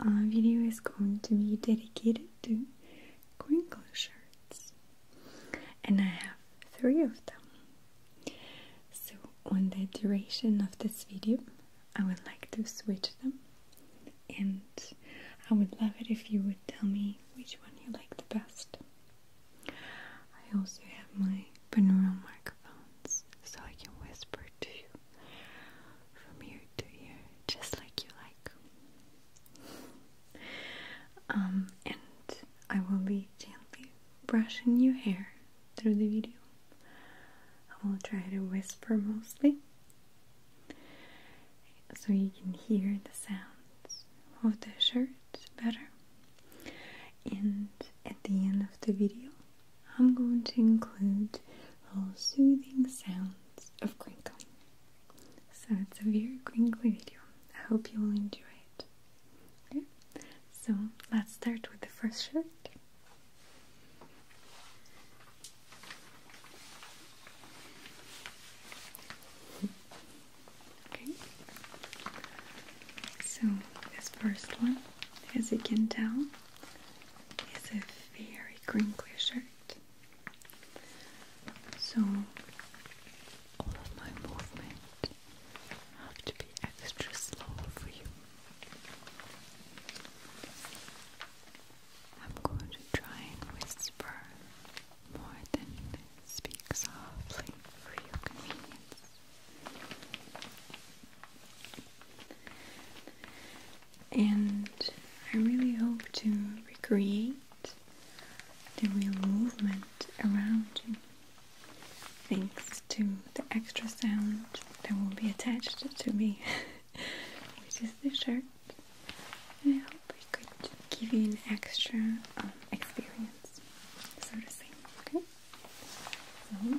uh, video is going to be dedicated to crinkle shirts, and I have three of them. So, on the duration of this video, I would like to switch them, and I would love it if you would tell me which one you like the best. I also have my binaural microphones so I can whisper to you from ear to ear, just like you like. Um, and I will be gently brushing your hair through the video. I will try to whisper mostly so you can hear the sounds of the shirt better. And at the end of the video, I'm going to include all soothing sounds of crinkling. So it's a very crinkly video. I hope you will enjoy it. so let's start with the first shirt. Okay, so this first one, as you can tell, it's a very crinkly shirt. So all of my movement have to be extra slow for you. I'm going to try and whisper more than speak softly for your convenience. And I really hope to recreate the real movement around you thanks to the extra sound that will be attached to me, which is the shirt. And I hope it could give you an extra um, experience, so to say. Okay? So,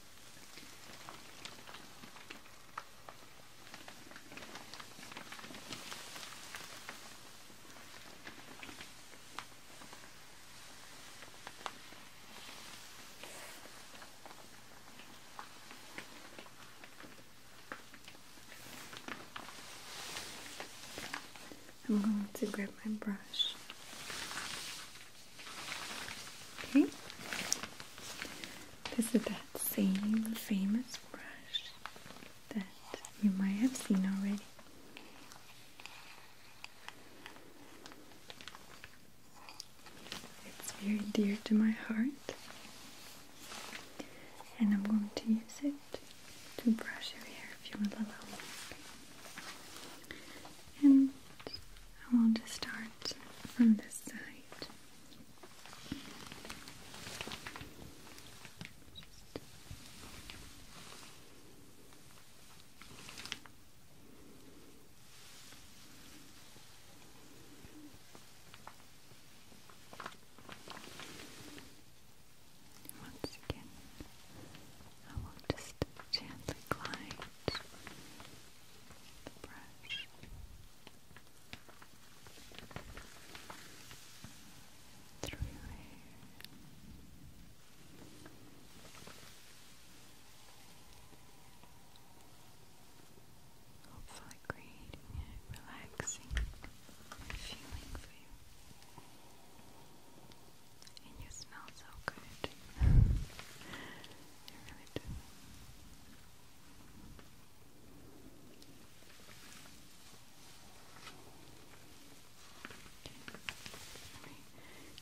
I'm going to grab my brush this is that same famous brush that you might have seen already. It's very dear to my heart, and I'm going to use it to brush your hair if you will allow me and I will just start from this side. once again, I will just gently glide the brush. Through your hair. Hopefully creating a relaxing feeling for you. And you smell so good.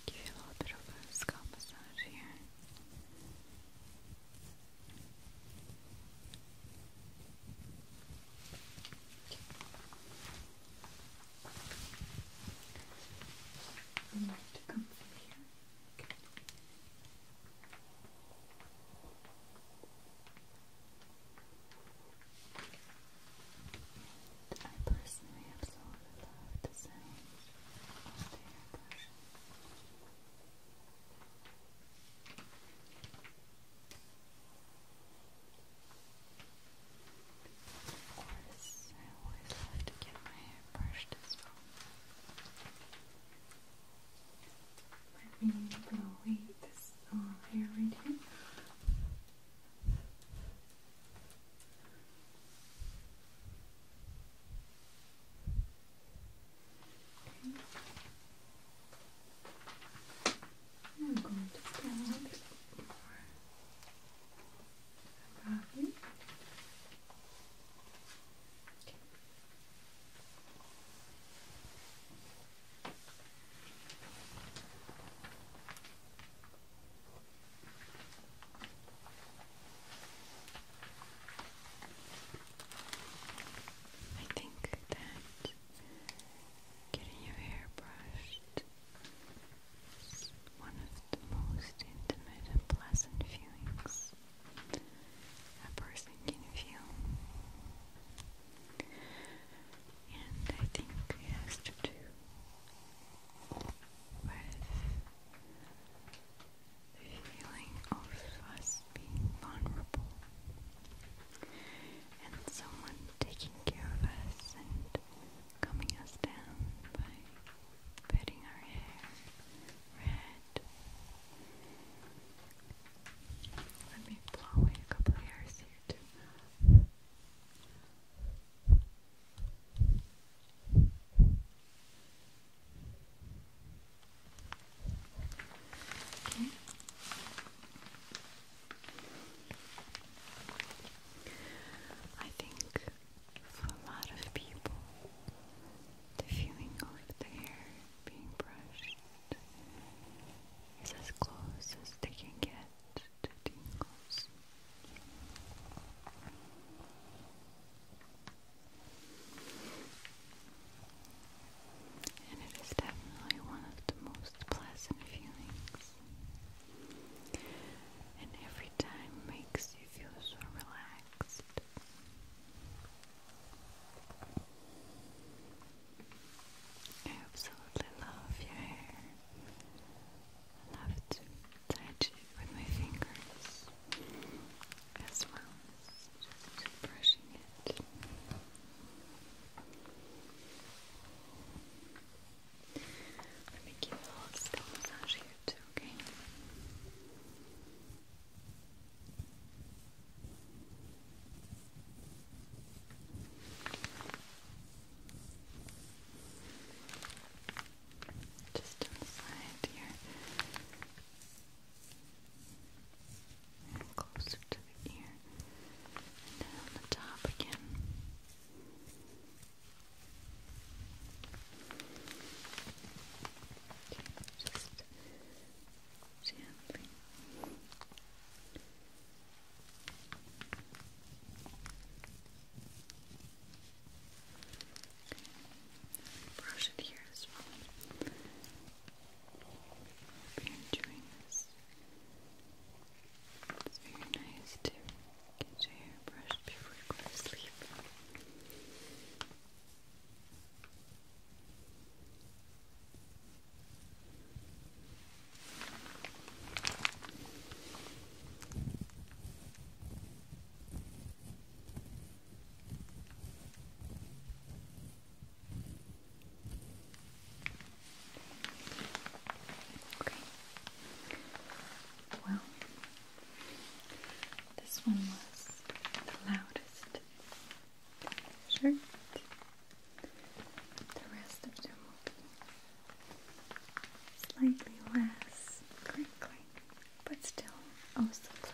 give you a little bit of a scalp massage here. I'd personally absolutely love the the airbrush. Of course, I always like to get my hair brushed as well. Let me blow away this little hair right here. I'm going to pull think that getting your hair brushed it's one of the most intimate and pleasant feelings a person can feel. And I think has to do with the feeling of us being vulnerable and someone taking care of us and combing us down by petting our hair red. Let me blow away a couple hairs here too. I think for a lot of people, the feeling of the hair being brushed is as close as they can get to tingles. And it is definitely one of the most pleasant feelings and every time makes you feel so relaxed. I absolutely love your hair. love to touch it with my fingers as well as just brushing it. Let me give a little scalp massage here too, okay? Just on here. closer to of down the top again. Just gently. Brush it here as well. Hope you're enjoying this it's very nice to get your hair brushed before you go to sleep. Well, this one was the loudest shirt. The rest of them will slightly less crinkly, but still oh pleasant.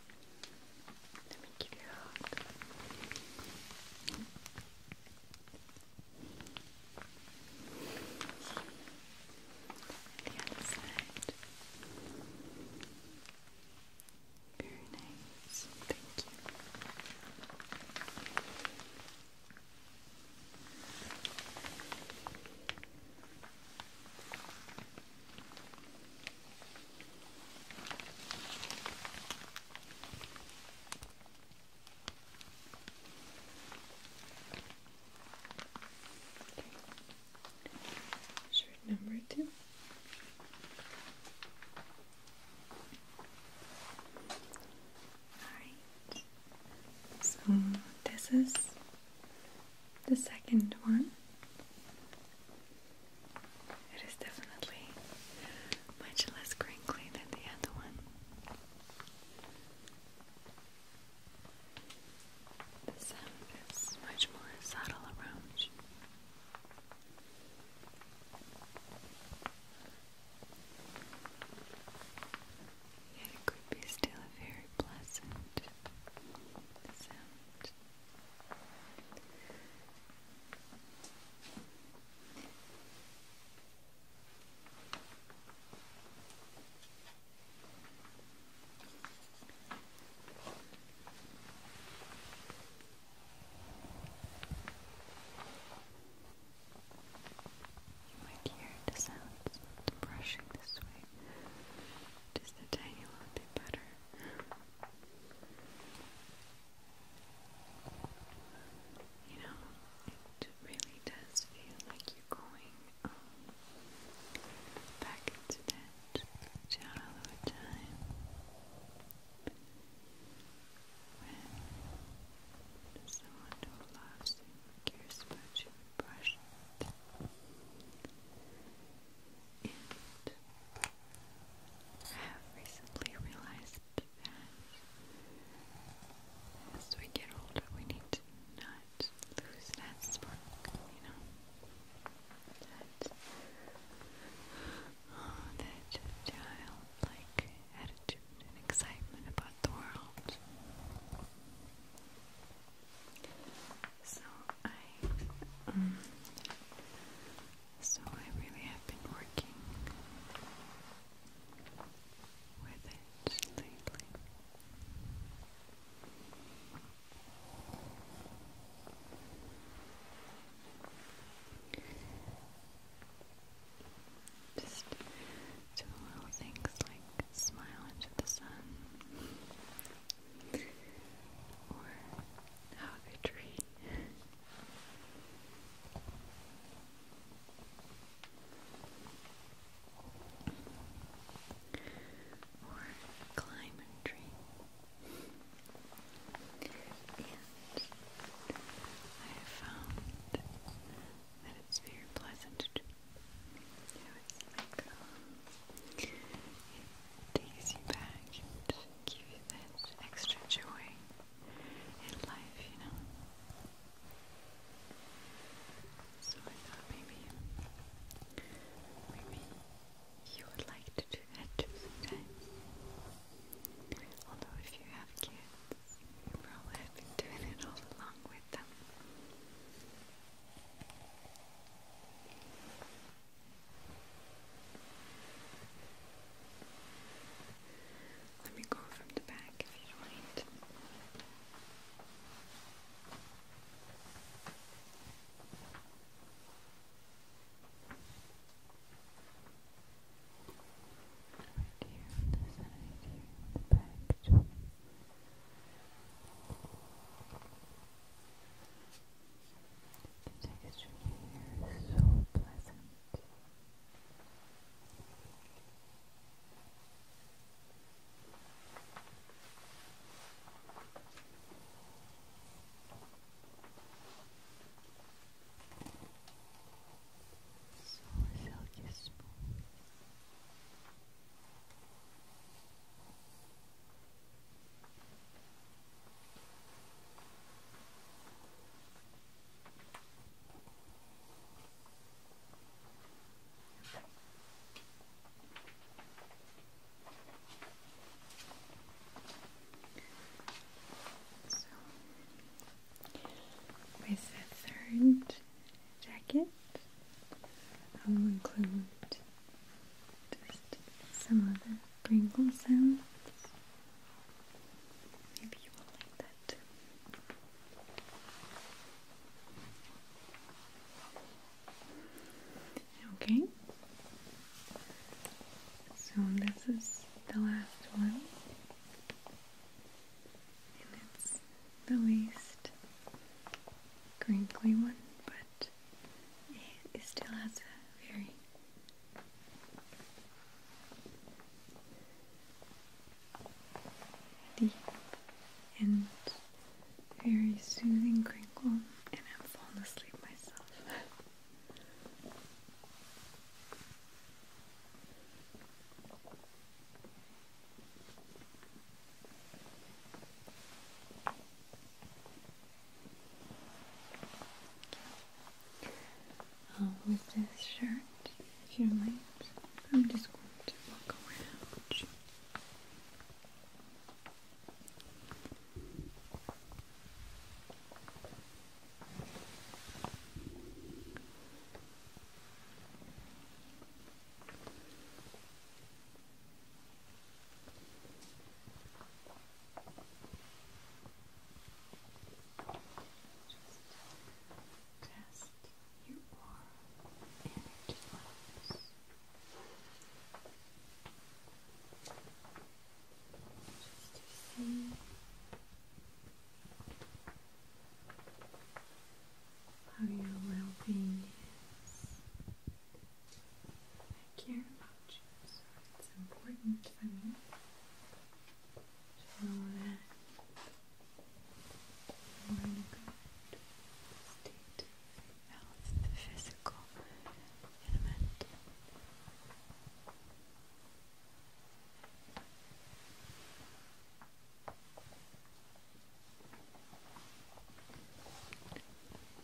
Let me give you a hug. The other side. Very nice. Thank you. Good. Shirt number two. Alright, so this is the second one. It is definitely much less crinkly than the other one. The sound is much more subtle around it could be still a very pleasant sound. You might hear the sounds of brushing this way. Just a tiny little bit better. You know, it really does feel like you're going um, back into that shallow time when someone who loves you cares about you brushes it and have recently realized that as we get older, we need to not lose that spark, you know, that oh, childlike attitude and excitement about the world. So I, um, so I really have been working with it lately. Just do little things like smile into the sun, or how they treat. or climb a tree. And I have found that it's very pleasant now it takes you back and gives you that extra joy in life, you know. So I thought maybe maybe you would like to do that too Although if you have kids, you probably have been doing it all along with them. Let me go from the back if you don't mind. Right here on the side, here the back. Too. The texture here is so pleasant. So silky smooth. So, with the third jacket. I will include just some other crinkle sounds. Maybe you like that Okay. So this is the last one. it's the least crinkly one, but it still has a very deep and very soothing crinkle, and I'm falling asleep myself. Uh, with this shirt, if you like, I'm just going to walk around just test your energy levels. Just to see how your well being is. I care about you, it's important for me to know that you're in a good state of health, the physical and the mental.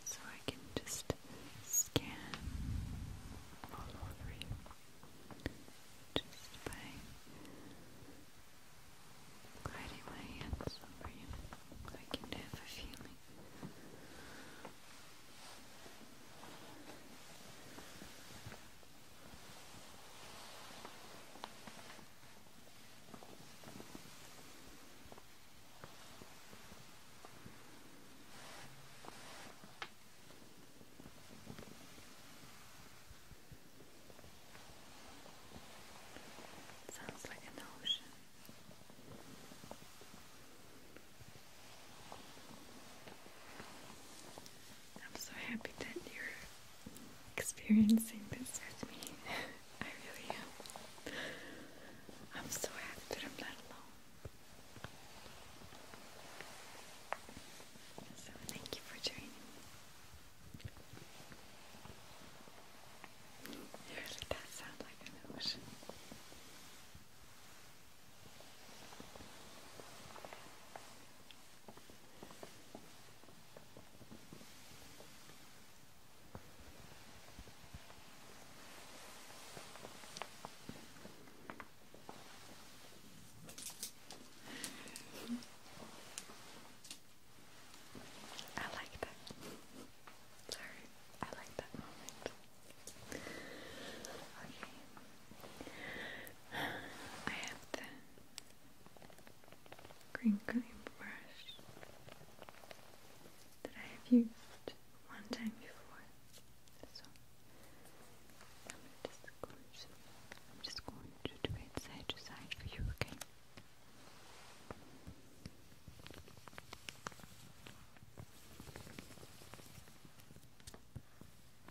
So I can just scan all over you just by gliding my hands over you. I can have a feeling. It sounds like an ocean. I'm so happy that you're experiencing this with me. I really am. I'm so happy that I'm not alone. So, thank you for joining me. It really does sound like an ocean. I like that. Sorry, I like that moment. Okay. I have the Green crinkly brush that I have used one time before. So I'm just going to, do it side to side for you, Okay.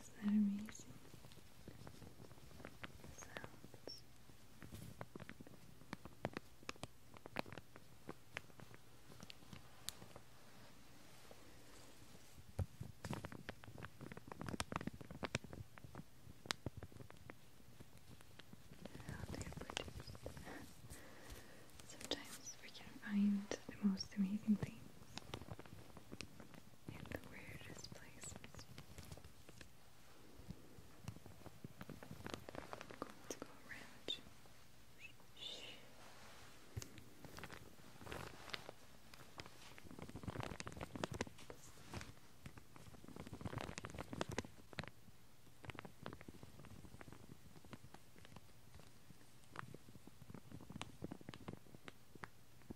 Isn't that amazing? Sometimes we can find the most amazing things in the weirdest places. I'm going you.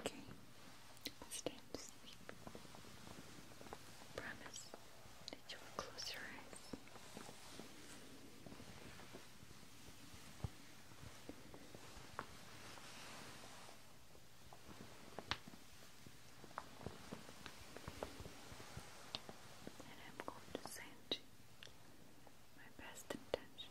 Okay, it's time Promise that you will close your eyes. And I'm going to send you my best intention.